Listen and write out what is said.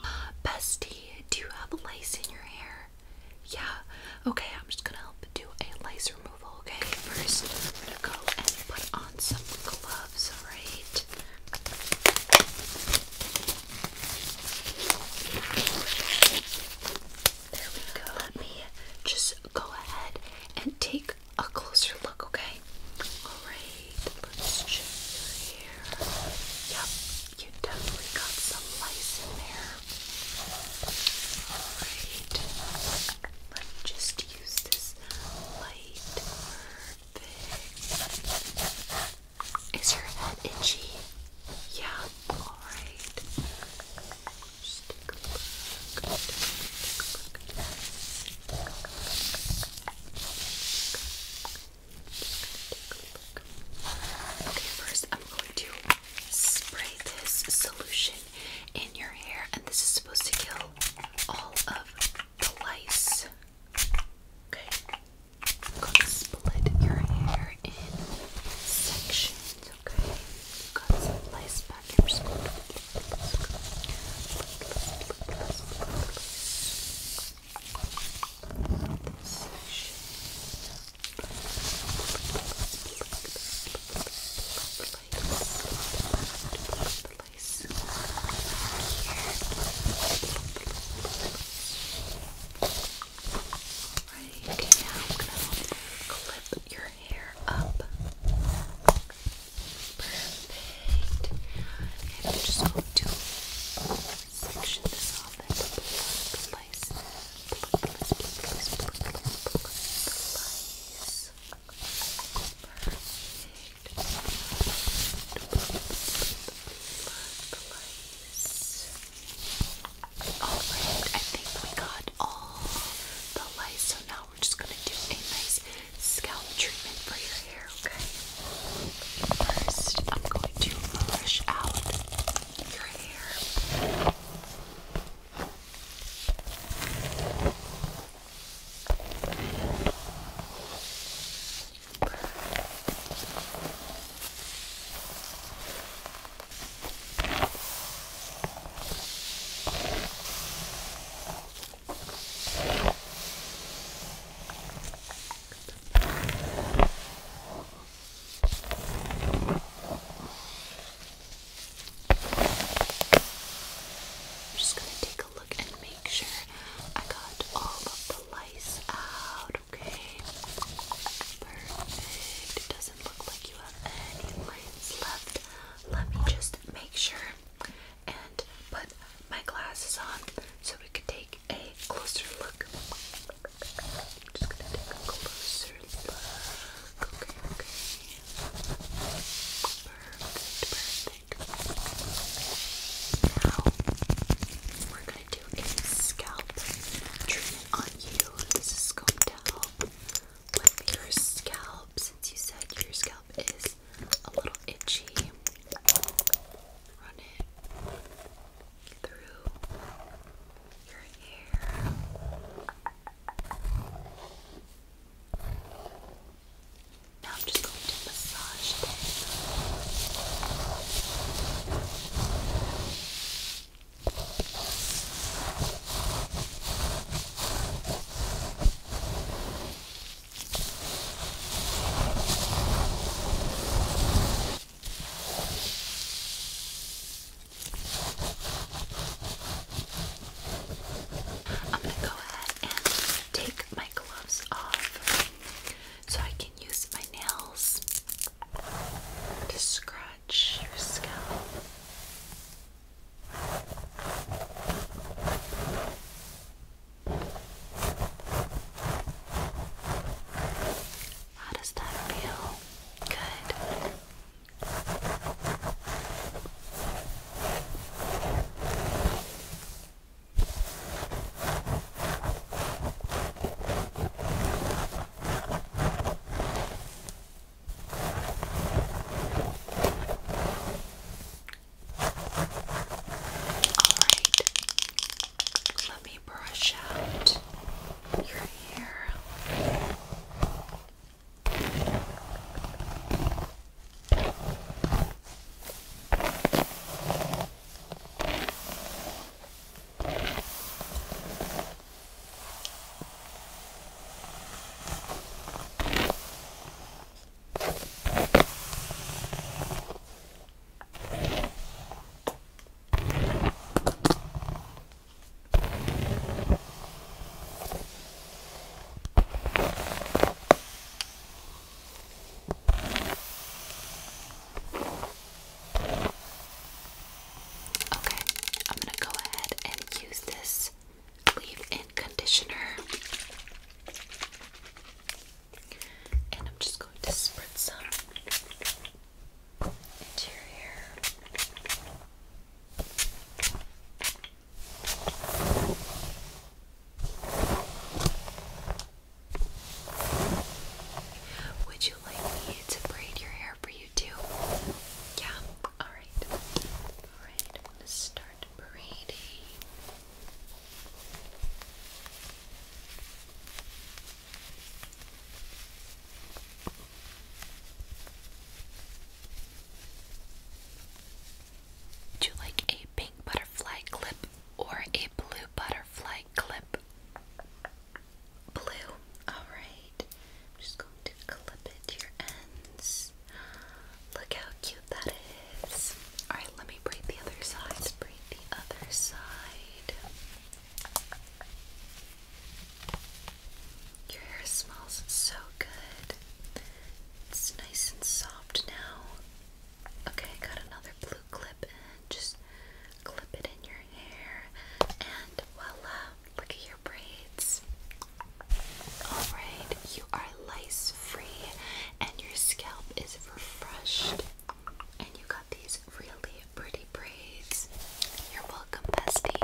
Uh, bestie, do you have lice in your hair? Yeah. Okay, I'm just gonna help do a lice removal, okay? First, I'm gonna go and put on some gloves, alright? There we go. Let me just go ahead and take a closer look, okay? Alright, let's check your hair. Yep, you definitely got some lice in there. Alright, let me just use this light. Perfect. Is your head itchy? Yeah, alright. Just Okay, first I'm going to spray this solution in your hair, and this is supposed to kill all of the lice. Okay, I'm going to split your hair in sections. Okay, got some lice Let's go. Let's go. Let's go. Let's go. Right now, I'm gonna clip your hair up. Perfect. And i just going to section this off and slice, Alright, I think we got all the lice, so now I'm just gonna do a nice scalp treatment for your hair, okay? First, I'm going to brush out your hair. I'm just going to take a look and make sure I got all of the lice out, okay? Perfect. It doesn't look like you have any lines left let me just make sure and put my glasses on so we can take a closer look. Now we're gonna do a scalp treatment on you. This is going to help with your scalp you said your scalp is a little itchy, run it through your hair. Now I'm just going to massage this. I'm going to go ahead and take my gloves off so I can use my nails to scratch your scalp. How does that feel? Good. Alright, let me brush out your hair. Okay. Okay, I'm gonna go ahead and use this leave-in conditioner. And I'm just going to spread some into your hair. Would you like me to braid your hair for you too? Yeah, Alright, alright, I'm start braiding. Would you like a pink butterfly clip or a blue butterfly clip? Blue, alright. I'm just going to clip it to your ends. Look how cute that is. Alright, let me braid the other side. braid the other side. Your hair smells so good. It's nice and soft now. Okay, got another blue clip and just clip it in your hair and voila. Look at your braids. Alright, you are lice free and your scalp is refreshed. And you got these really pretty braids. You're welcome, bestie.